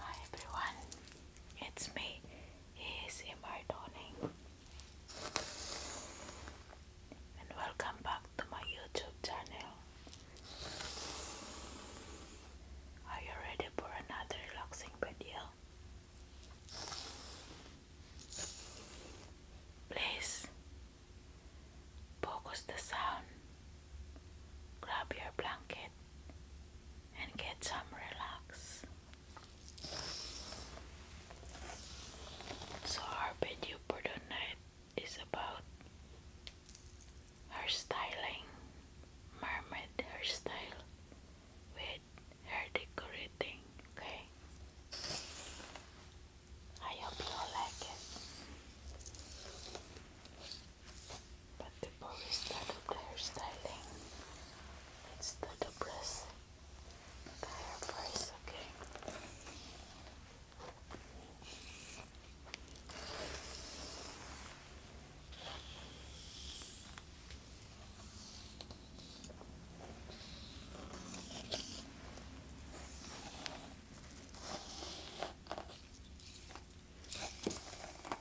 Hi everyone, it's me, ASMR Dawning and welcome back to my YouTube channel. Are you ready for another relaxing video? Please focus the sound Grab your blanket and get some relax. So our video for tonight is about hairstyling, mermaid hairstyle with hair decorating. Okay, I hope you like it. But before we start with the hairstyling, it's the press the hair Okay.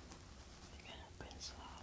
We're going to pencil out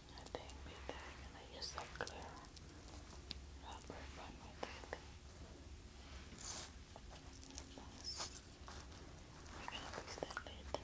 I think be back and I use that clear rubber one with it. We're going that later,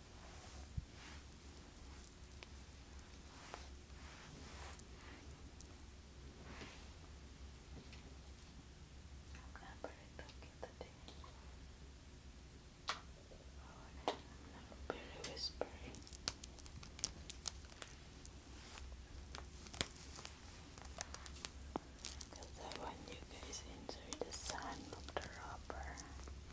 I'm going to put it back I'm not very whispery. Because I want you guys into the sun of the rubber.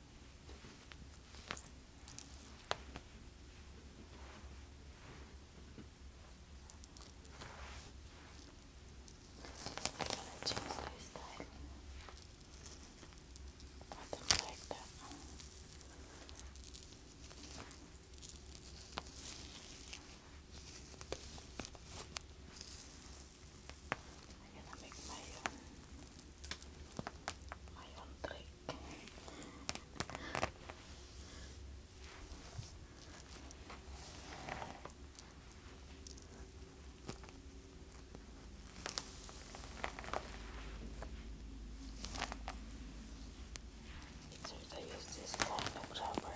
I'm going to choose this side. I don't like that one. I I'm gonna make my own, my It's I use this kind of rubber.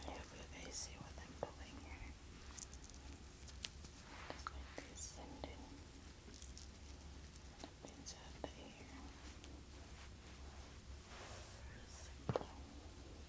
I hope you see what I'm pulling here. Just like this and the ear.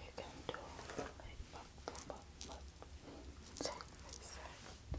You can do like buck, buck, buck, side by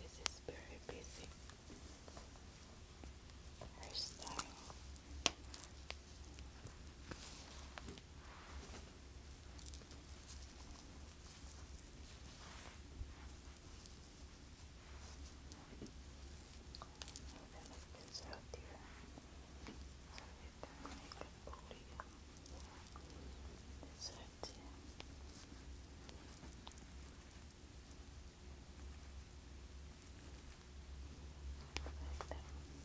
This is very basic hairstyle. Even if this out here, so you can make a podium. This out here. Like that.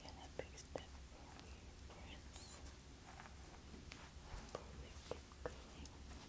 Again, a big step for Prince. Hopefully, keep going. Good.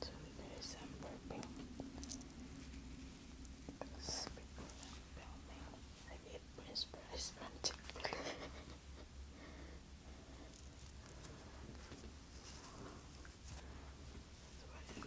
So there's some purple. I get Prince Price frantically. That's what I'm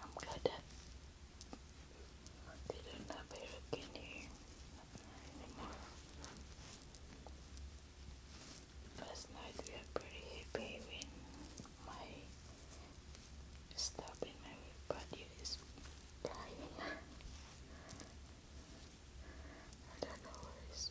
I'm good they don't have a in here anymore. Last night we are pretty happy when my stuff in my body is dying. I don't know where is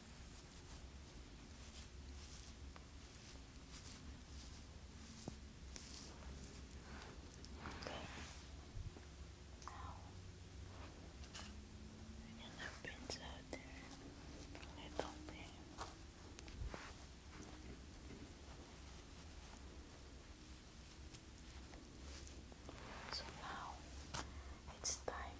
Okay. Now we out there a little bit. So now it's time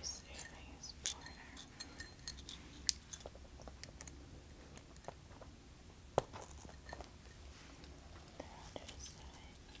This area is border. The other side. This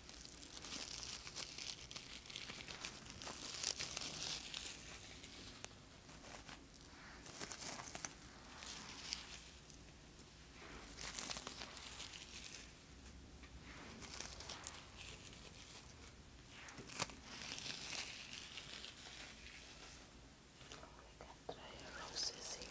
We can try roses here.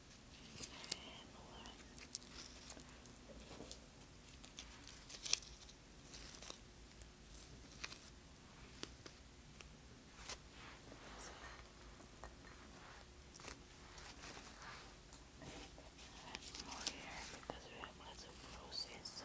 And one. more here because we have lots of roses. So.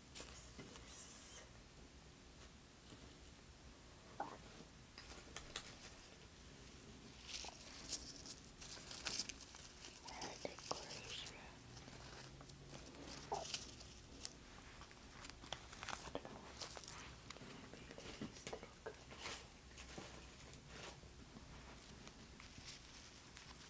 decoration. I don't know. Maybe this look.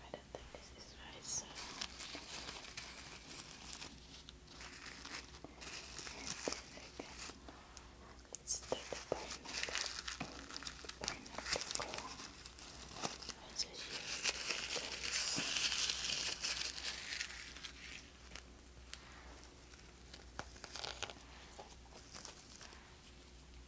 I don't think this is right, let's take the pineapple, pineapple core. Let's use this.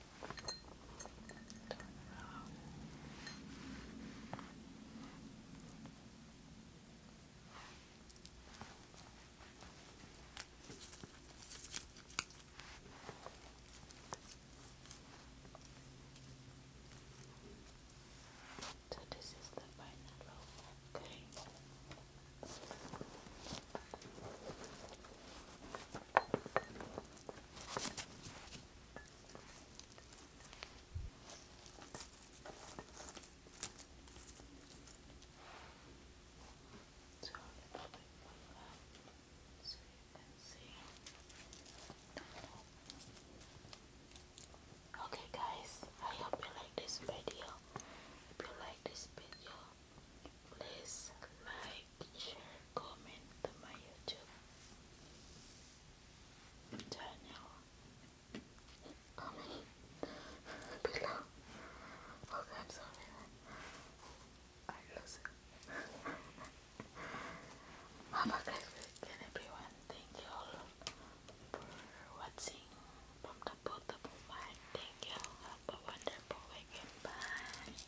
Turn around. So this is the final row, okay? So you Okay guys, I hope you like this video. If you like this video, please like share, comment to my YouTube channel. Okay, I'm sorry. I lose it. Have a great weekend, everyone. Thank you all for watching from the bottom of my Thank you. Have a wonderful weekend. Bye.